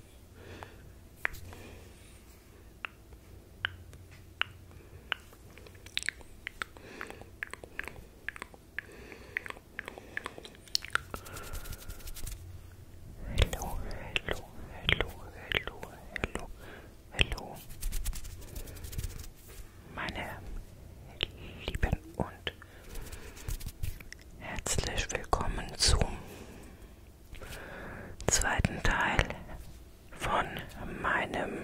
Hello, hello, hello, hello, hello, hello. Meine lieben und Herzlich willkommen zum zweiten Teil von meinem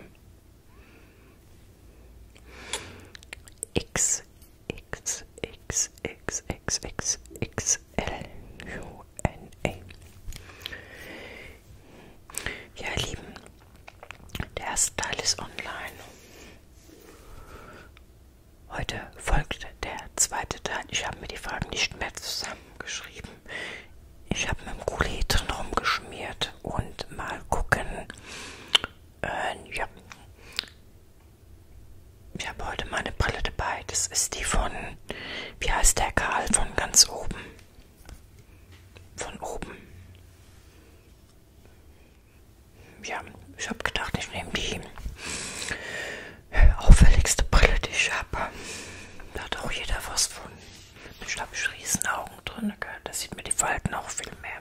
XXXXXXXXLUNA. Ja, ihr Lieben, der erste Teil ist online. Heute folgt der zweite Teil. Ich habe mir die Fragen nicht mehr zusammengeschrieben. Ich habe mit dem Kuli drin rumgeschmiert und mal gucken. Äh, ja. Ich habe heute meine Brille dabei. Das ist die von, wie heißt der Karl, von ganz oben. Von oben ja, ich habe gedacht, ich nehme die auffälligste Brille, die ich habe. Da hat auch jeder was von. Ich habe riesen Augen drin, gell? da sieht mir die Falten auch viel mehr.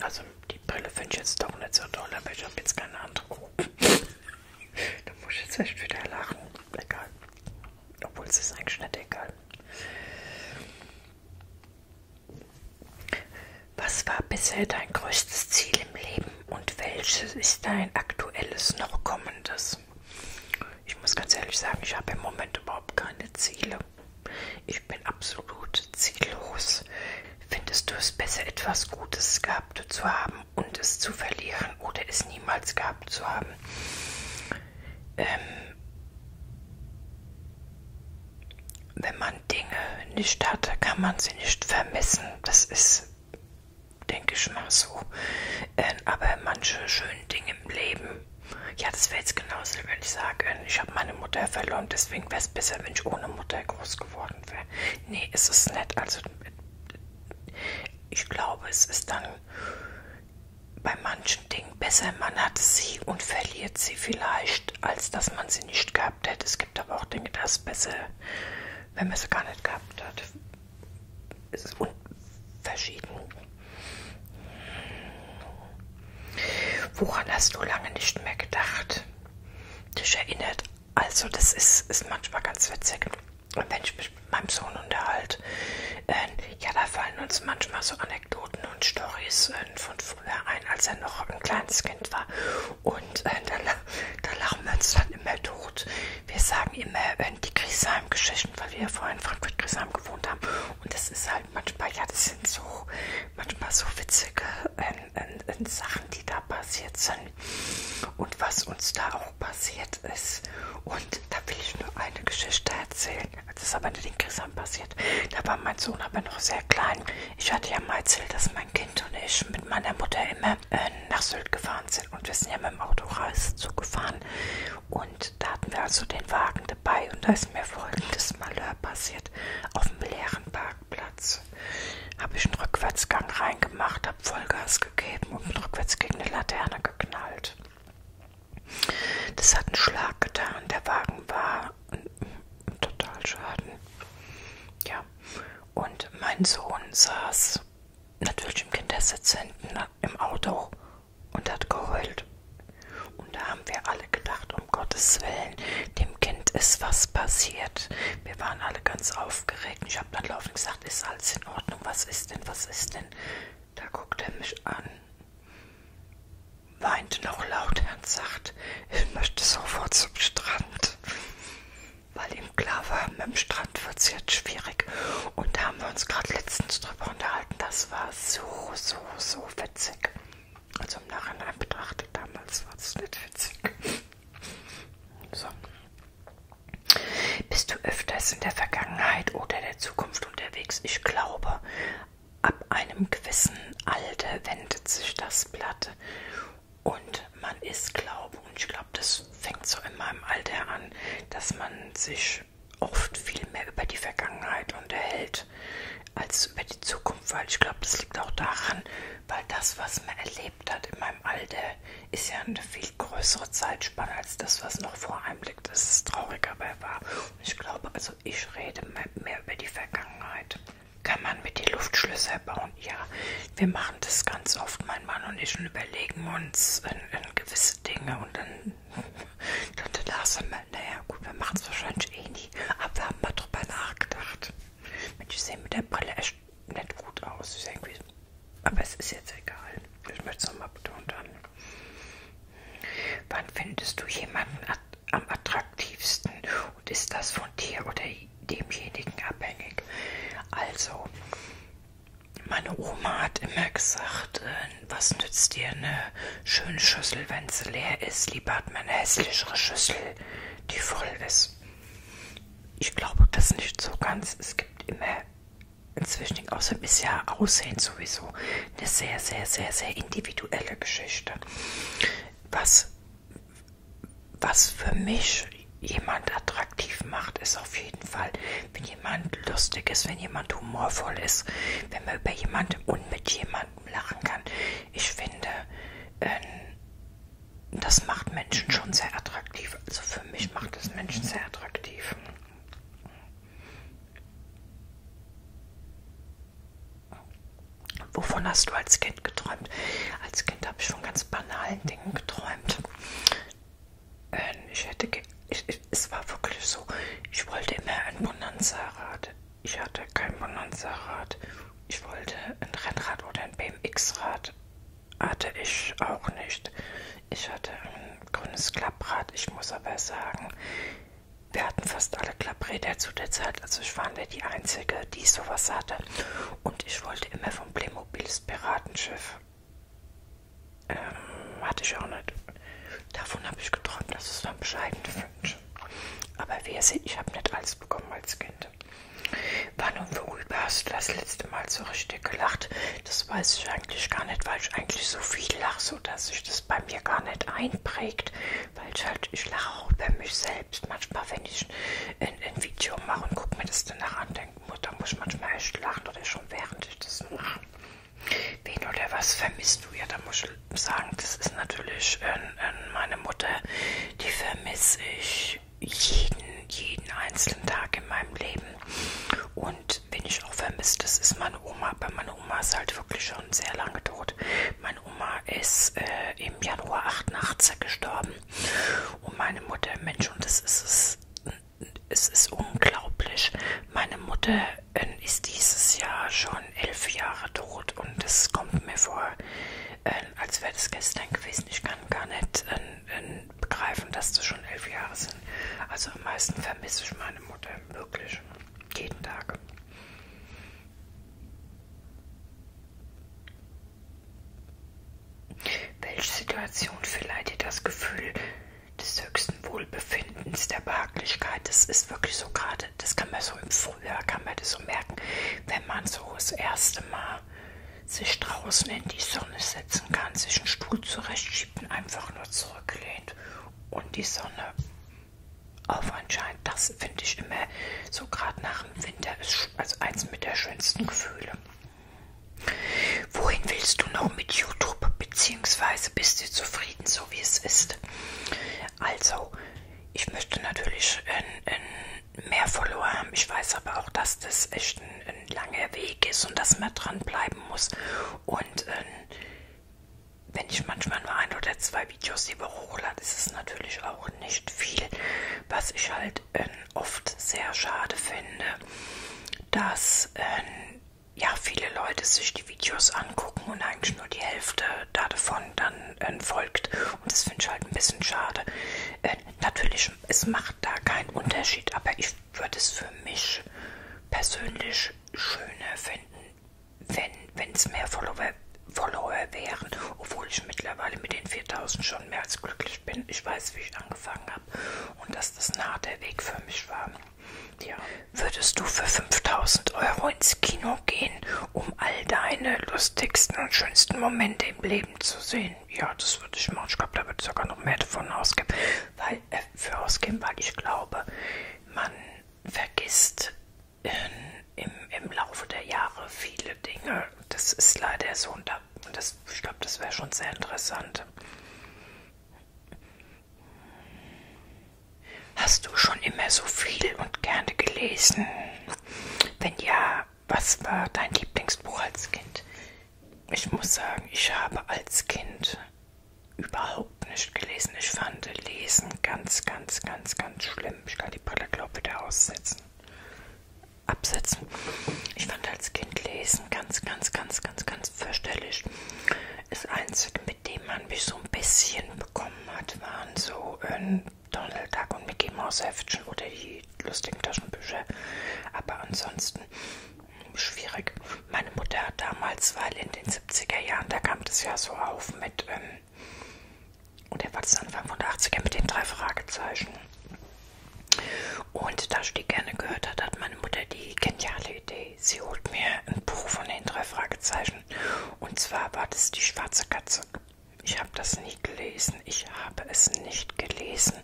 Also die Brille finde ich jetzt doch nicht so toll, aber ich habe jetzt keine andere. da muss ich jetzt echt wieder lachen egal. Obwohl es ist eigentlich nicht egal. Was war bisher dein größtes Ziel im Leben und welches ist dein aktuelles noch kommendes? Ich muss ganz ehrlich sagen, ich habe im Moment überhaupt keine Ziele. Ich bin absolut ziellos. Findest du es besser, etwas Gutes gehabt zu haben und es zu verlieren oder es niemals gehabt zu haben. Ähm, wenn man Dinge nicht hatte, kann man sie nicht vermissen. Das ist, denke ich mal so. Ähm, aber manche schönen Dinge im Leben, ja, das wäre jetzt genauso, wenn ich sage, ähm, ich habe meine Mutter verloren, deswegen wäre es besser, wenn ich ohne Mutter groß geworden wäre. Nee, es ist nett. Also, ich glaube, es ist dann bei manchen Dingen besser, man hat sie und verliert sie vielleicht, als dass man sie nicht gehabt hätte. Es gibt aber auch Dinge, das ist besser, wenn man sie gar nicht gehabt hat. Es ist verschieden. Woran hast du lange nicht mehr gedacht? Dich erinnert. Also das ist, ist manchmal ganz witzig. Und wenn ich mich mit meinem Sohn unterhalte, äh, ja, da fallen uns manchmal so Anekdoten und Stories äh, von früher ein, als er noch ein kleines Kind war. Und äh, da, da lachen wir uns dann immer tot. Wir sagen immer äh, die Griesheim-Geschichten, weil wir ja vorher in Frankfurt-Griesheim gewohnt haben. Und das ist halt manchmal, ja, das sind so, manchmal so witzige äh, äh, Sachen, die da passiert sind, und was uns da auch passiert ist. Und da will ich nur eine Geschichte erzählen. Das ist aber nicht in Chrisam passiert. Da war mein Sohn aber noch sehr klein. Ich hatte ja mal erzählt, dass mein Kind und ich mit meiner Mutter immer äh, nach Sylt gefahren sind. Und wir sind ja mit dem Auto zugefahren. Und da hatten wir also den Wagen dabei. Und da ist mir folgendes Malheur passiert. Auf dem leeren Parkplatz habe ich einen Rückwärtsgang reingemacht, habe Vollgas gegeben und bin rückwärts gegen eine Laterne geknallt. Das hat einen Schlag getan. Der Wagen war total schaden. Ja. Und mein Sohn saß natürlich im Kindersitz hinten im Auto und hat geheult. Und da haben wir alle gedacht, um Gottes Willen, dem Kind ist was passiert. Wir waren alle ganz aufgeregt. Ich habe dann laufend gesagt, gesagt, ist alles in Ordnung, was ist denn, was ist denn? Da guckt er mich an, weint noch lauter und sagt, ich möchte sofort zum Strand. Weil ihm klar war, mit dem Strand wird es jetzt schwierig. Und da haben wir uns gerade letztens drüber unterhalten. Das war so, so, so witzig. Also im Nachhinein betrachtet, damals war es nicht witzig. So. Bist du öfters in der Vergangenheit oder der Zukunft unterwegs? Ich glaube, ab einem gewissen Alter wendet sich das Blatt und man ist Glaube. Und ich glaube, das fängt so in meinem Alter an, dass man sich oft viel mehr über die Vergangenheit unterhält als über die Zukunft, weil ich glaube, das liegt auch daran, weil das, was man erlebt hat in meinem Alter, ist ja eine viel größere Zeitspanne als das, was noch vor einem liegt. Das ist traurig, aber er war. Und ich glaube, also ich rede mehr über die Vergangenheit. Kann man mit die Luftschlösser bauen? Ja, wir machen das ganz oft, mein Mann und ich, und überlegen uns in, in gewisse Dinge und dann, dann lassen wir, naja gut, wir machen es wahrscheinlich eh nie, aber wir haben mal drüber nachgedacht. Mensch, ich sehe mit der Brille echt nicht gut aus. Irgendwie, aber es ist jetzt egal. Ich möchte es nochmal betont haben. Wann findest du jemanden at am attraktivsten und ist das von dir oder demjenigen abhängig? Also, meine Oma hat immer gesagt, äh, was nützt dir eine schöne Schüssel, wenn sie leer ist? Lieber hat man eine hässlichere Schüssel, die voll ist. Ich glaube das nicht so ganz. Es gibt immer inzwischen außerdem ist ja Aussehen sowieso eine sehr, sehr, sehr, sehr individuelle Geschichte. Was, was für mich jemand attraktiv macht, ist auf jeden Fall, wenn jemand lustig ist, wenn jemand humorvoll ist, wenn man über jemanden und mit jemandem lachen kann. Ich finde, äh, das macht Menschen schon sehr attraktiv. Also für für mich macht es Menschen sehr attraktiv. Wovon hast du als Kind geträumt? Als Kind habe ich von ganz banalen Dingen geträumt. Ähm, ich hätte, ich, ich, es war wirklich so, ich wollte immer ein Bonanza-Rad. Ich hatte kein Bonanza-Rad. Ich wollte ein Rennrad oder ein BMX-Rad hatte ich auch nicht. Ich hatte ein grünes Klapprad. Ich muss aber sagen, wir hatten fast alle Klappräder zu der Zeit. Also ich war nicht die Einzige, die sowas hatte. Und ich wollte immer vom Playmobiles Piratenschiff. Ähm, hatte ich auch nicht. Davon habe ich geträumt, das ist ein bescheidener Wunsch. Aber wer sieht, ich habe nicht alles bekommen als Kind wann und worüber hast du das letzte Mal so richtig gelacht? Das weiß ich eigentlich gar nicht, weil ich eigentlich so viel lache, so dass sich das bei mir gar nicht einprägt. Weil ich halt, ich lache auch über mich selbst. Manchmal, wenn ich ein, ein Video mache und gucke mir das danach an, denke da muss ich manchmal echt lachen oder schon während ich das mache. Wen oder was vermisst du? Ja, da muss ich sagen, das ist natürlich äh, äh, meine Mutter. Die vermisse ich jeden, jeden einzelnen Tag in meinem Leben. Und wen ich auch vermisse, das ist meine Oma. Aber meine Oma ist halt wirklich schon sehr lange tot. Meine Oma ist äh, im Januar 88 gestorben. Und meine Mutter, Mensch, und das ist es. Es ist unglaublich. Meine Mutter äh, ist dieses Jahr schon elf Jahre tot und es kommt mir vor, äh, als wäre das gestern gewesen. Ich kann gar nicht äh, begreifen, dass das schon elf Jahre sind. Also am meisten vermisse ich meine Mutter wirklich jeden Tag. Welche Situation verleiht dir das Gefühl des höchsten Wohlbefindens, der Behaglichkeit? Das ist wirklich so gerade, das kann man so im Frühjahr, kann man das so merken, wenn man so das erste Mal sich draußen in die Sonne setzen kann, sich einen Stuhl zurechtschieben, einfach nur zurücklehnt und die Sonne auf anscheinend. Das finde ich immer so gerade nach dem Winter ist also eins mit der schönsten Gefühle. Wohin willst du noch mit YouTube? Beziehungsweise bist du zufrieden, so wie es ist? Also, ich möchte natürlich ein, ein mehr Follower haben. Ich weiß aber auch, dass das echt ein, ein ein langer Weg ist und dass man dranbleiben muss. Und ähm, wenn ich manchmal nur ein oder zwei Videos die Woche hochlade, ist es natürlich auch nicht viel, was ich halt ähm, oft sehr schade finde, dass ähm, ja viele Leute sich die Videos angucken und eigentlich nur die Hälfte davon dann äh, folgt. Und das finde ich halt ein bisschen schade. Äh, natürlich Menschen. Es macht da keinen Unterschied, aber ich würde es für mich persönlich schöner finden, wenn es mehr Follower, Follower wären, obwohl ich mittlerweile mit den 4000 schon mehr als glücklich bin. Ich weiß, wie ich angefangen habe und dass das nah der Weg für mich war. Ja. Würdest du für 5000 Euro ins Kino gehen, um all deine lustigsten und schönsten Momente im Leben zu sehen? 10. Ja, das würde ich machen. Ich glaube, da würde ich sogar noch mehr davon ausgeben. Weil, äh, für ausgeben, weil ich glaube, man vergisst äh, im, im Laufe der Jahre viele Dinge. Das ist leider so. Und, da, und das, ich glaube, das wäre schon sehr interessant. Hast du schon immer so viel und gerne gelesen? Wenn ja, was war dein Lieblingsbuch als Kind? Ich muss sagen, ich habe als Kind überhaupt nicht gelesen. Ich fand Lesen ganz, ganz, ganz, ganz schlimm. Ich kann die Brille, glaube ich, wieder aussetzen. Absetzen. Ich fand als Kind Lesen ganz, ganz, ganz, ganz, ganz fürchterlich. Das Einzige, mit dem man mich so ein bisschen bekommen hat, waren so ein ähm, Donald Duck und Mickey Mouse Heftchen oder die lustigen Taschenbücher. Aber ansonsten hm, schwierig. Meine Mutter hat damals, weil in den 70er Jahren, da kam das ja so auf mit, ähm, oder war das Anfang von der 80er mit den drei Fragezeichen. Und da ich die gerne gehört hat, hat meine Mutter die geniale Idee. Sie holt mir ein Buch von den drei Fragezeichen. Und zwar war das die schwarze Katze. Ich habe das nie nicht gelesen. Ich habe es nicht gelesen.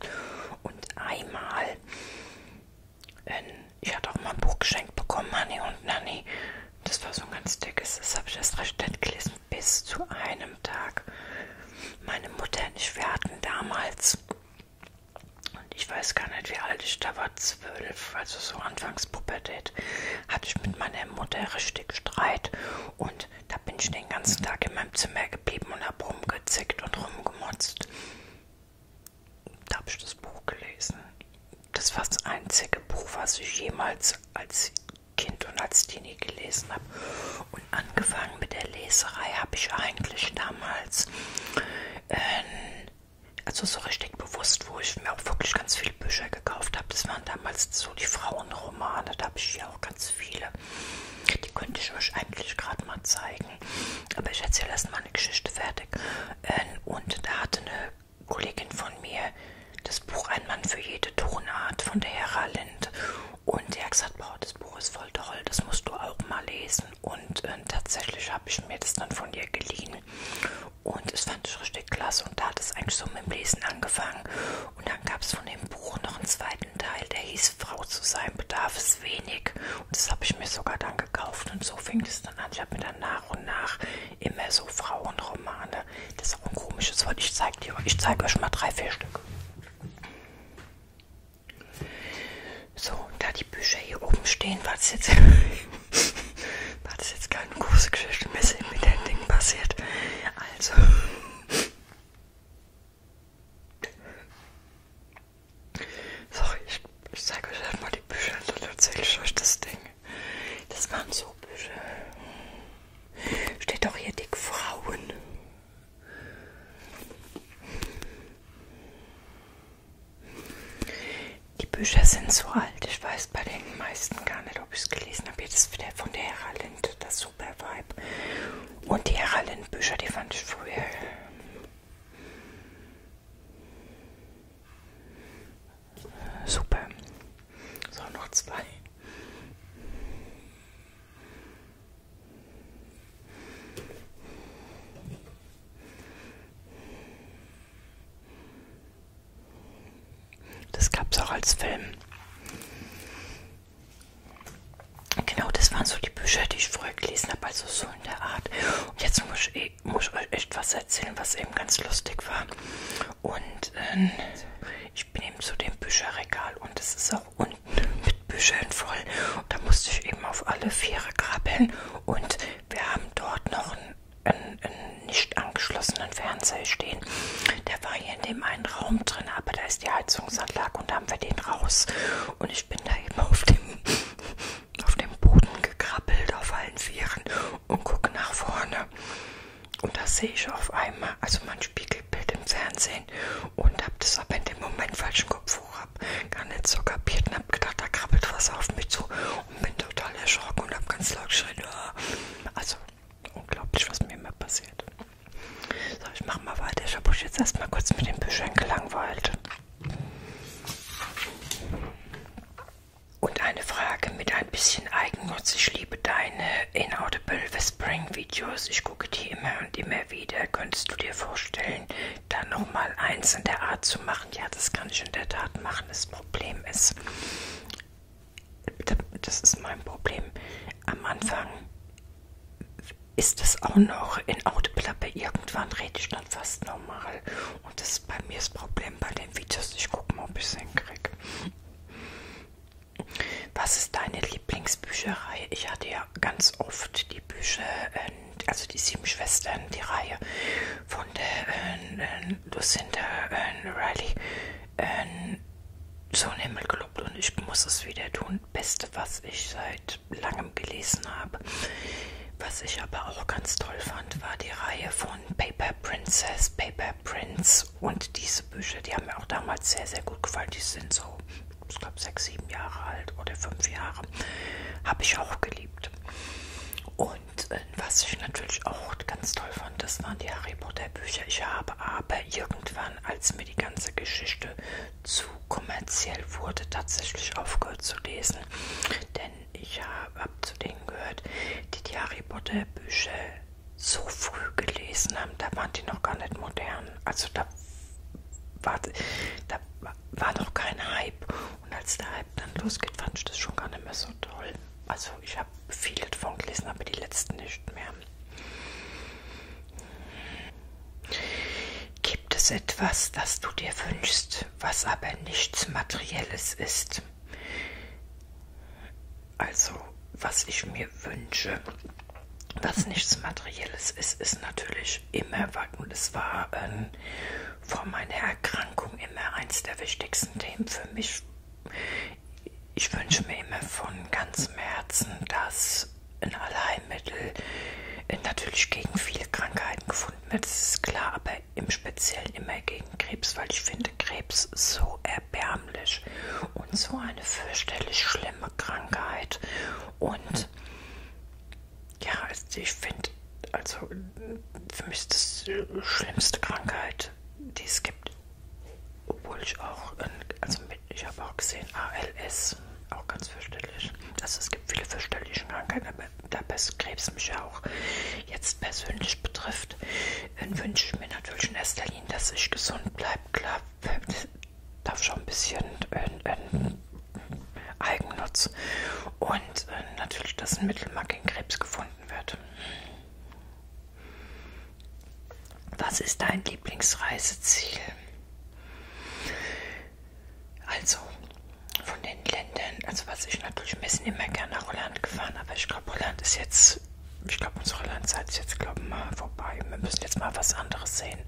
Und einmal, in, ähm, ich hatte auch mal ein Buch geschenkt bekommen, Honey und Nanny. Das war so ein ganz dickes, das habe ich erst recht nett gelesen. Bis zu einem Tag. Meine Mutter nicht, wir hatten damals, und ich weiß gar nicht, wie alt ich da war, zwölf, also so Anfangspubertät, hatte ich mit meiner Mutter richtig Streit und da bin ich den ganzen Tag in meinem Zimmer geblieben und habe rumgezickt und rumgemotzt. Da habe ich das Buch gelesen. Das war das einzige Buch, was ich jemals als Kind und als Teenie gelesen habe. Und angefangen mit der Leserei habe ich eigentlich damals, äh, also so richtig bewusst, wo ich mir auch wirklich ganz viele Bücher gekauft habe. Das waren damals so die Frauenromane, da habe ich ja auch ganz viele. Die könnte ich euch eigentlich gerade mal zeigen. Aber ich erzähle erst mal eine Geschichte fertig. Ähm, und da hatte eine Kollegin von mir das Buch Ein Mann für jede Tonart von der Hera Lind. Und die hat gesagt, boah, das Buch ist voll toll, das musst du auch mal lesen. Und äh, tatsächlich habe ich mir das dann von ihr geliehen. Und das fand ich richtig klasse. Und da hat es eigentlich so mit dem Lesen angefangen. Und dann gab es von dem Buch noch einen zweiten Teil, der hieß Frau zu sein bedarf es wenig. Und das habe ich mir sogar dann gekauft. Und so fing es dann an. Ich habe mir dann nach und nach immer so Frauenromane. Das ist auch ein komisches Wort. Ich zeige dir, ich zeige euch mal drei, vier Stück. So, da die Bücher hier oben stehen, war das jetzt, war das jetzt keine große Geschichte, mir ist mit dem Ding passiert. Also, Sorry, ich, ich zeige euch einfach die Bücher und dann erzähle ich euch das Ding. Das waren so Bücher. Steht auch hier dick Frauen. Die Bücher sind so alt, ich weiß bei den meisten gar nicht, ob ich es gelesen habe. Jetzt wieder von der Hera Lind, das super Vibe. Und die heralin bücher die fand ich früher. Äh, super. So, noch zwei. Das gab es auch als Film. Genau, das waren so die Bücher, die ich früher gelesen habe, also so in der Art. Und jetzt muss ich, eh, muss ich euch echt was erzählen, was eben ganz lustig war. Und ähm, ich bin eben zu dem Bücherregal und es ist auch unten mit Büchern voll. Und da musste ich eben auf alle Viere krabbeln. Und wir haben dort noch einen, einen, einen nicht angeschlossenen Fernseher stehen. Der war hier in dem einen Raum drin, aber da ist die Heizungsanlage und da haben wir den raus. Und ich bin da eben auf dem, auf dem Boden gekrabbelt, auf allen Vieren und gucke nach vorne. Und da sehe ich auf einmal, also mein Spiegelbild im Fernsehen und habe das aber in dem Moment falschen Kopf hoch, hab gar nicht so kapiert und habe gedacht, da krabbelt was auf mich zu und bin total erschrocken und habe ganz laut geschrien. Ah. Also unglaublich, was mir immer passiert. So, ich mach mal weiter. Ich habe euch jetzt erstmal kurz mit den Büchern gelangweilt. Und eine Frage mit ein bisschen Eigennutz. Ich liebe deine Inaudible Whispering Videos. Ich gucke die immer und immer wieder. Könntest du dir vorstellen, da nochmal eins in der Art zu machen? Ja, das kann ich in der Tat machen. Das Problem ist, das ist mein Problem. Am Anfang ist es auch noch in Outplappe. Irgendwann rede ich dann fast normal. Und das ist bei mir das Problem bei den Videos. Ich gucke mal, ob ich es hinkriege. Was ist deine Lieblingsbücherei? Ich hatte ja ganz oft die Bücher, ähm, also die Sieben Schwestern, die Reihe von der äh, Lucinda äh, Riley. Äh, so ein Himmel gelobt und ich muss es wieder tun. Beste, was ich seit langem gelesen habe. Was ich aber auch ganz toll fand, war die Reihe von Paper Princess, Paper Prince und diese Bücher, die haben mir auch damals sehr, sehr gut gefallen. Die sind so, ich glaube, sechs, sieben Jahre alt oder fünf Jahre. Habe ich auch geliebt. Und äh, was ich natürlich auch ganz toll fand, das waren die Harry Potter Bücher. Ich habe aber irgendwann irgendwann, als mir die ganze Geschichte zu kommerziell wurde, tatsächlich aufgehört zu lesen. Denn ich habe hab zu denen gehört, die die Harry Potter Bücher so früh gelesen haben, da waren die noch gar nicht modern. Also da war, da war noch kein Hype. Und als der Hype dann losgeht, fand ich das schon gar nicht mehr so toll. Also ich habe viele davon gelesen, aber die letzten nicht mehr. Gibt es etwas, das du dir wünschst, was aber nichts Materielles ist? Also, was ich mir wünsche, was nichts Materielles ist, ist natürlich immer, und es war ähm, vor meiner Erkrankung immer eins der wichtigsten Themen für mich. Ich wünsche mir immer von ganzem Herzen, dass ein Allheilmittel äh, natürlich gegen viele Krankheiten gefunden wird, das ist klar, aber im Speziellen immer gegen Krebs, weil ich finde Krebs so erbärmlich und so eine fürchterlich schlimme Krankheit. Und ja, also ich finde, also äh, für mich ist das die schlimmste Krankheit, die es gibt. Obwohl ich auch, in, also mit, ich habe auch gesehen, ALS, auch ganz fürchterlich. Also es gibt viele fürchterliche Krankheiten, aber da Krebs mich ja auch jetzt persönlich betrifft, dann wünsche ich mir natürlich in erster Linie, dass ich gesund bleibe. Klar, darf schon ein bisschen in, ähm, in ähm, Eigennutz und äh, natürlich, dass ein Mittel mal gegen Krebs gefunden wird. Was ist dein Lieblingsreiseziel? Also von den Ländern, also was ich natürlich, wir sind immer gerne nach Holland gefahren, aber ich glaube, Holland ist jetzt, ich glaube, unsere Hollandzeit ist jetzt, glaube ich, mal vorbei. Wir müssen jetzt mal was anderes sehen.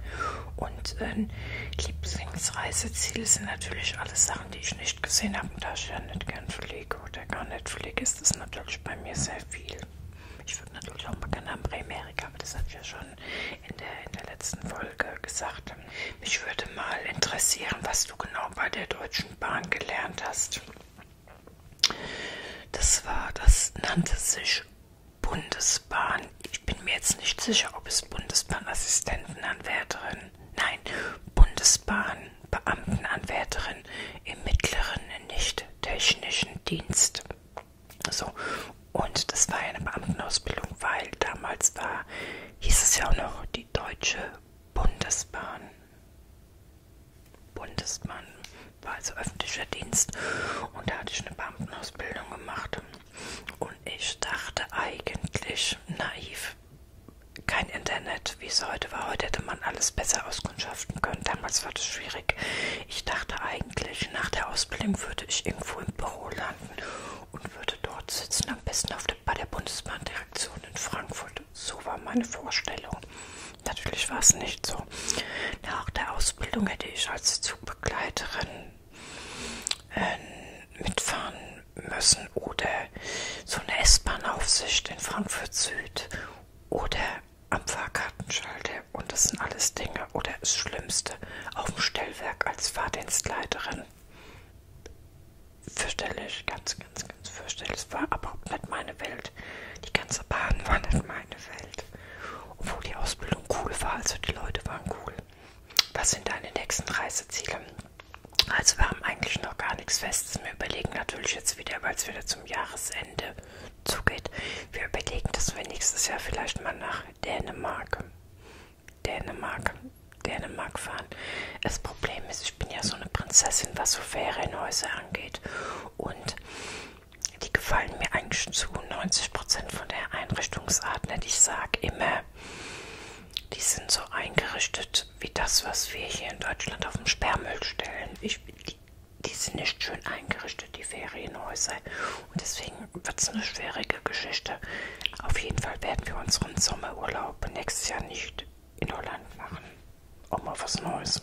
Und äh, Lieblingsreiseziele sind natürlich alles Sachen, die ich nicht gesehen habe. Und da ich ja nicht gern fliege oder gar nicht fliege, ist das natürlich bei mir sehr viel. Ich würde natürlich auch mal gerne am Amerika, aber das habe ich ja schon in der, in der letzten Folge gesagt. Mich würde mal interessieren, was du genau bei der Deutschen Bahn gelernt hast. Das war, das nannte sich Bundesbahn. Ich bin mir jetzt nicht sicher, ob es Bundesbahnassistentenanwärterin, nein, Bundesbahnbeamtenanwärterin im mittleren nicht technischen Dienst so, und das war ja eine Beamtenausbildung, weil damals war, hieß es ja auch noch die Deutsche Bundesbahn. Bundesmann war also öffentlicher Dienst und da hatte ich eine Beamtenausbildung gemacht. Und ich dachte eigentlich naiv, kein Internet, wie es heute war. Heute hätte man alles besser auskundschaften können. Damals war das schwierig. Ich dachte eigentlich, nach der Ausbildung würde ich irgendwo im Büro landen und würde dort sitzen, am besten auf der, bei der Bundesbahndirektion in Frankfurt. So war meine Vorstellung. Natürlich war es nicht so. Nach der Ausbildung hätte ich als Zugbegleiterin äh, mitfahren müssen oder so eine S-Bahn-Aufsicht in Frankfurt Süd oder am Fahrkartenschalter und das sind alles Dinge oder das Schlimmste auf dem Stellwerk als Fahrdienstleiterin. Fürchterlich, ganz, ganz, ganz fürchterlich. Es war überhaupt nicht meine Welt. Die ganze Bahn war nicht meine Welt. Obwohl die Ausbildung cool war, also die Leute waren cool. Was sind deine nächsten Reiseziele? Also wir haben eigentlich noch gar nichts Festes. Wir überlegen natürlich jetzt wieder, weil es wieder zum Jahresende zugeht. Wir überlegen, dass wir nächstes Jahr vielleicht mal nach Dänemark, Dänemark, Dänemark fahren. Das Problem ist, ich bin ja so eine Prinzessin, was so Ferienhäuser angeht. Und die gefallen mir eigentlich zu 90% von der Einrichtungsart. Nicht? Ich sage immer, die sind so eingerichtet wie das, was wir hier in Deutschland auf dem Sperrmüll stellen. Ich, die die sind nicht schön eingerichtet, die Ferienhäuser. Und deswegen wird es eine schwierige Geschichte. Auf jeden Fall werden wir unseren Sommerurlaub nächstes Jahr nicht in Holland machen. Auch mal was Neues.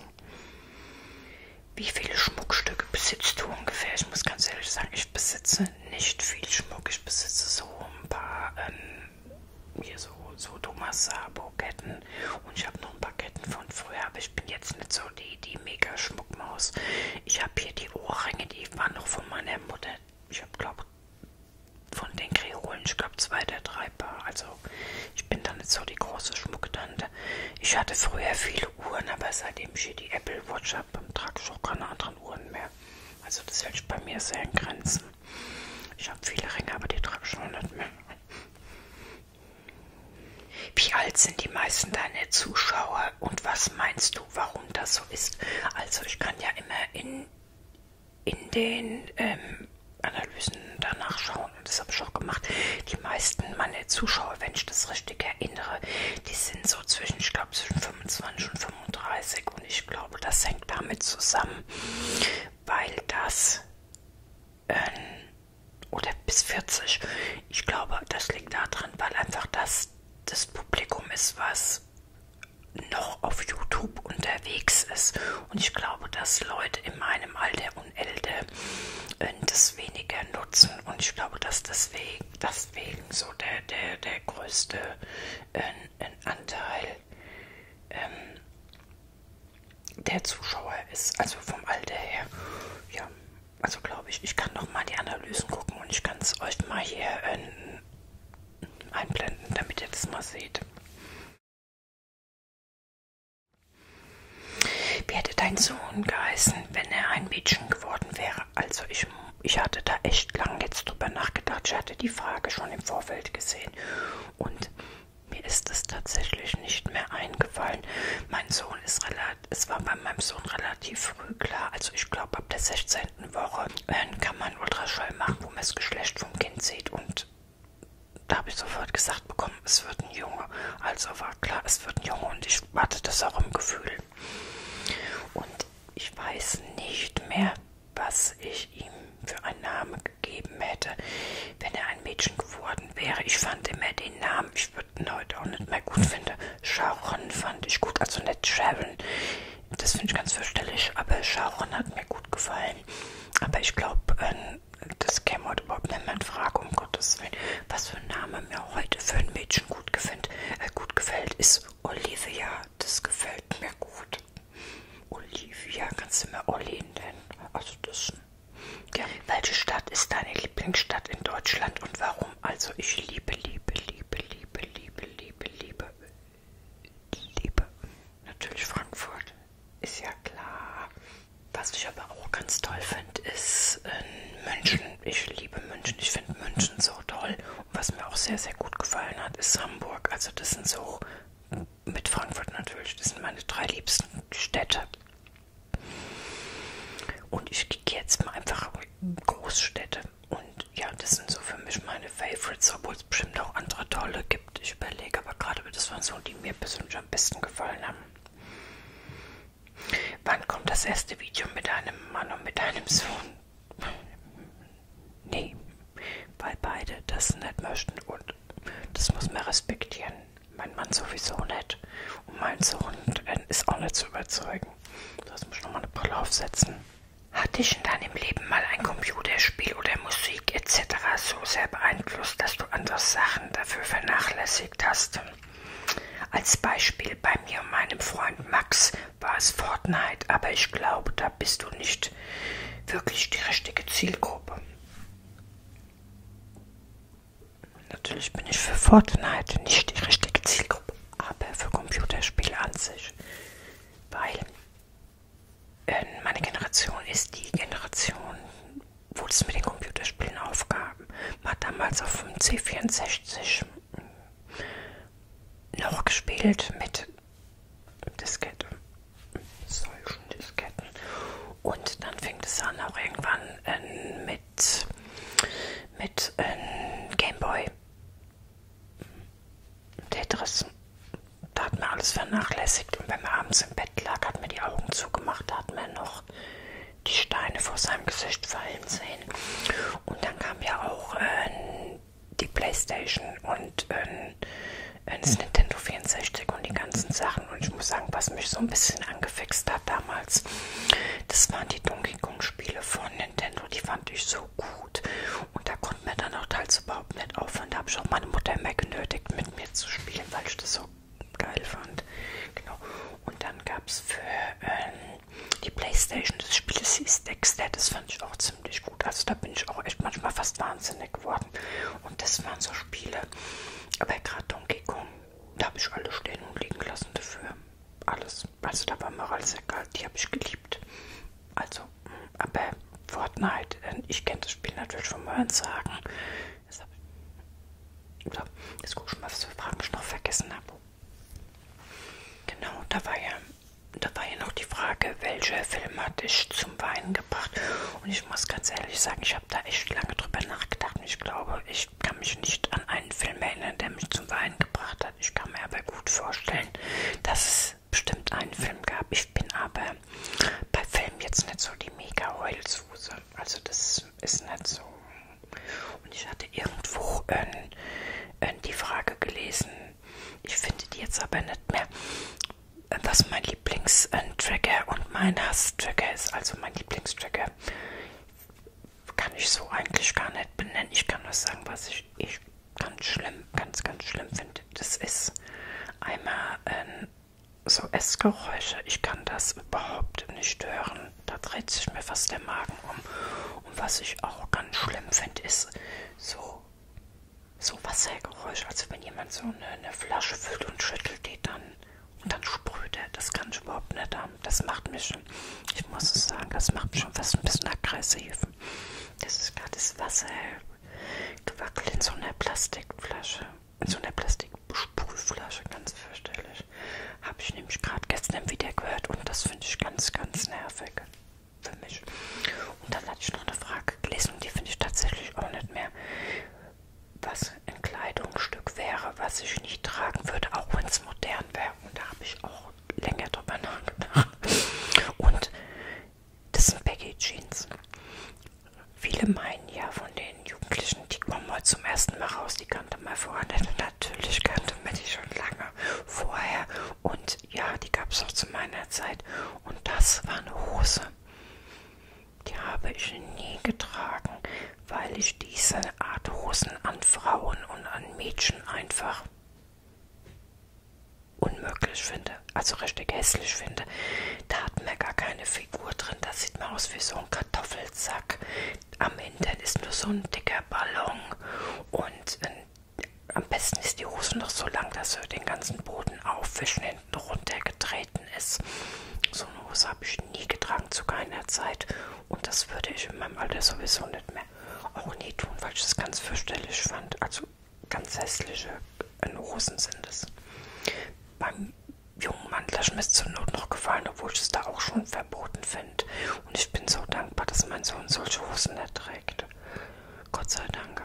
Wie viele Schmuckstücke besitzt du ungefähr? Ich muss ganz ehrlich sagen, ich besitze nicht viel Schmuck. Ich besitze so ein paar, ähm, hier so, so Thomas Sabo-Ketten Ketten. Und ich habe noch ein paar Ketten von früher, aber ich bin jetzt nicht so die, die mega Schmuckmaus. Ich habe hier die Ohrringe, die waren noch von meiner Mutter. Ich habe, glaube von den Kreolen, ich glaube zwei der drei Paar. Also ich bin dann nicht so die große Schmucktante. Ich hatte früher viele Uhren, aber seitdem ich hier die Apple Watch habe, trage ich auch keine anderen Uhren mehr. Also das hält sich bei mir sehr in Grenzen. Ich habe viele Ringe, aber die trage ich noch nicht mehr. Wie alt sind die meisten deiner Zuschauer und was meinst du, warum das so ist? Also ich kann ja immer in, in den ähm, Analysen danach schauen und das habe ich auch gemacht. Die meisten meiner Zuschauer, wenn ich das richtig erinnere, die sind so zwischen, ich glaube, zwischen 25 und 35 und ich glaube, das hängt damit zusammen, weil das ähm, oder bis 40. Ich glaube, das liegt daran, weil einfach das das Publikum ist, was noch auf YouTube unterwegs ist. Und ich glaube, dass Leute in meinem Alter und älter äh, das weniger nutzen. Und ich glaube, dass deswegen, deswegen so der, der, der größte äh, Anteil ähm, der Zuschauer ist, also vom Alter her, ja, also glaube ich, ich kann noch mal die Analysen gucken und ich kann es euch mal hier äh, einblenden, damit ihr das mal seht. Wie hätte dein Sohn geheißen, wenn er ein Mädchen geworden wäre? Also ich, ich hatte da echt lange jetzt drüber nachgedacht. Ich hatte die Frage schon im Vorfeld gesehen und mir ist es tatsächlich nicht mehr eingefallen. Mein Sohn ist relativ, es war bei meinem Sohn relativ früh klar. Also ich glaube ab der 16. Woche äh, kann man Ultraschall machen, wo man das Geschlecht vom Kind sieht. Und da habe ich sofort gesagt bekommen, es wird ein Junge. Also war klar, es wird ein Junge und ich hatte das auch im Gefühl. Und ich weiß nicht mehr, was ich ihm für einen Namen gegeben hätte, wenn er ein Mädchen geworden geworden wäre. Ich fand immer den Namen, ich würde ihn heute auch nicht mehr gut finden. Sharon fand ich gut, also nicht Sharon. Das finde ich ganz verständlich, aber Sharon hat mir gut gefallen. Aber ich glaube, äh, das käme heute überhaupt nicht mehr in Frage, um Gottes Willen. Was für ein Name mir heute für ein Mädchen gut, gefällt, äh, gut gefällt, ist Olivia. Das gefällt mir gut. Olivia, kannst du mir Olin nennen? Also das ja. Welche Stadt ist deine Lieblingsstadt in Deutschland und warum? Also ich liebe, liebe, liebe, liebe, liebe, liebe, liebe, liebe. Natürlich Frankfurt, ist ja klar. Was ich aber auch ganz toll finde, ist in ähm, München. Ich liebe München, ich finde München so toll. Und was mir auch sehr, sehr gut gefallen hat, ist Hamburg. Also das sind so, mit Frankfurt natürlich, das sind meine drei liebsten Städte. Und ich gehe jetzt mal einfach Großstädte. Und ja, das sind so für mich meine Favorites, obwohl es bestimmt auch andere tolle gibt. Ich überlege aber gerade, das waren so, die mir persönlich am besten gefallen haben. Wann kommt das erste Video mit einem Mann und mit einem Sohn? Nee, weil beide das nicht möchten und das muss man respektieren. Mein Mann sowieso nicht. Und mein Sohn ist auch nicht zu überzeugen. Das muss ich nochmal eine Brille aufsetzen. Hat dich in deinem Leben mal ein Computerspiel oder Musik etc. so sehr beeinflusst, dass du andere Sachen dafür vernachlässigt hast? Als Beispiel bei mir und meinem Freund Max war es Fortnite, aber ich glaube, da bist du nicht wirklich die richtige Zielgruppe. Natürlich bin ich für Fortnite nicht die richtige Zielgruppe, aber für Computerspiele an sich. Weil äh, meine Generation ist die Generation, wo es mit den Computerspielen aufgab. Man hat damals auf dem C64 ähm, noch gespielt mit Disketten. Solchen Disketten. Und dann fängt es an, auch irgendwann äh, mit, mit äh, Gameboy. Tetris. Da hat man alles vernachlässigt. Und wenn man abends im Bett lag, hat man die Augen zugemacht, da hat man noch die Steine vor seinem Gesicht fallen sehen. Und dann kam ja auch äh, die Playstation und ähm, äh, das Nintendo 64 und die ganzen Sachen. Sachen. Und ich muss sagen, was mich so ein bisschen angefixt hat damals, das waren die Donkey Kong-Spiele von Nintendo. Die fand ich so gut. Und da konnte mir dann auch teils überhaupt nicht aufhören. Da habe ich auch meine Mutter immer genötigt, mit mir zu spielen, weil ich das so geil fand. Genau. Und dann gab es für ähm, die Playstation das Spiel, das hieß Dexter. Das fand ich auch ziemlich gut. Also da bin ich auch echt manchmal fast wahnsinnig geworden. Und das waren so Spiele. Aber gerade Donkey Kong. Da habe ich alles stehen und liegen lassen dafür. Alles. Also da war mir alles egal. Die habe ich geliebt. Also, aber Fortnite, äh, ich kenne das Spiel natürlich vom Hören sagen. Jetzt, so, jetzt guck ich mal, was für Fragen ich noch vergessen habe. Genau, da war ja, da war ja noch die Frage, welcher Film hat dich zum Weinen gebracht? Und ich muss ganz ehrlich sagen, ich habe da echt lange drüber nachgedacht. Ich glaube, ich kann mich nicht an einen Film erinnern, der mich zum Weinen gebracht hat. Ich kann mir aber gut vorstellen, dass es bestimmt einen Film gab. Ich bin aber bei Filmen jetzt nicht so die mega Heulsuse. Also das ist nicht so. Und ich hatte irgendwo äh, äh, die Frage gelesen, ich finde die jetzt aber nicht mehr, was mein Lieblingstracker äh, und mein Hass-Tracker ist. Also mein Lieblingstracker kann ich so eigentlich gar nicht benennen. Ich kann nur sagen, was ich, ich ganz schlimm, ganz, ganz schlimm finde. Das ist einmal ähm, so Essgeräusche. Ich kann das überhaupt nicht hören. Da dreht sich mir fast der Magen um. Und was ich auch ganz schlimm finde, ist so so Wassergeräusch, also wenn jemand so eine, eine Flasche füllt und schüttelt die dann und dann sprüht er. Das kann ich überhaupt nicht haben. Das macht mich schon, ich muss es sagen, das macht mich schon fast ein bisschen aggressiv. Das ist gerade das Wasser gewackelt in so einer Plastikflasche. In so einer Plastiksprühflasche, ganz fürchterlich. Habe ich nämlich gerade gestern wieder gehört und das finde ich ganz, ganz nervig für mich. Und dann hatte ich noch eine Frage gelesen und die finde ich tatsächlich auch nicht mehr was ein Kleidungsstück wäre, was ich nicht tragen würde, auch wenn es modern wäre. Und da habe ich auch länger drüber nachgedacht. Und das sind Baggy Jeans. Viele meinen ja von den Jugendlichen, die kommen heute zum ersten Mal raus, die kannte man vorher nicht. Natürlich kannte man die schon lange vorher. Und ja, die gab es auch zu meiner Zeit. Und das war eine Hose. Die habe ich nie getragen, weil ich diese Art Hosen an Frauen und an Mädchen einfach unmöglich finde. Also richtig hässlich finde. Da hat man gar keine Figur drin. Das sieht man aus wie so ein Kartoffelsack. Am Hintern ist nur so ein dicker Ballon. Und ein, ähm, am besten ist die Hose noch so lang, dass sie den ganzen Boden aufwischen unten runtergetreten ist. So eine Hose habe ich nie getragen zu keiner Zeit und das würde ich in meinem Alter sowieso nicht mehr auch nie tun, weil ich das ganz fürchterlich fand. Also ganz hässliche äh, Hosen sind es. Beim jungen Mann lasse mir zur Not noch gefallen, obwohl ich es da auch schon verboten finde. Und ich bin so dankbar, dass mein Sohn solche Hosen erträgt. Gott sei Dank.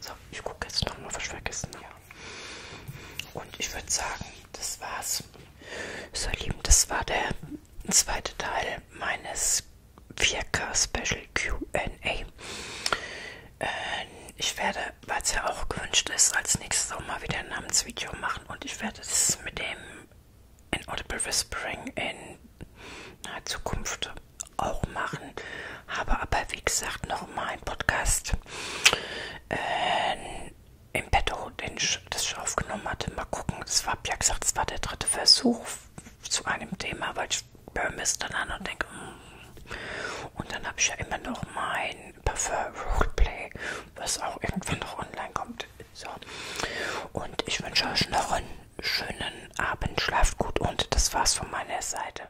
So, ich gucke jetzt nochmal, was ich vergessen habe. Und ich würde sagen, das war's. So ihr Lieben, das war der zweite Teil meines 4K Special QA. Äh, ich werde, weil es ja auch gewünscht ist, als nächstes auch mal wieder ein Namensvideo machen und ich werde es mit dem Inaudible Whispering in naher Zukunft auch machen. Habe aber, wie gesagt, nochmal einen Podcast äh, im Petto, oh, den ich, das ich aufgenommen hatte. Mal gucken, das war, ja gesagt, es war der dritte Versuch zu einem Thema, weil ich höre mir es dann an und denke, mm. und dann habe ich ja immer noch mein Parfum Roleplay, was auch irgendwann noch online kommt. So. Und ich wünsche euch noch einen schönen Abend, schlaft gut und das war's von meiner Seite.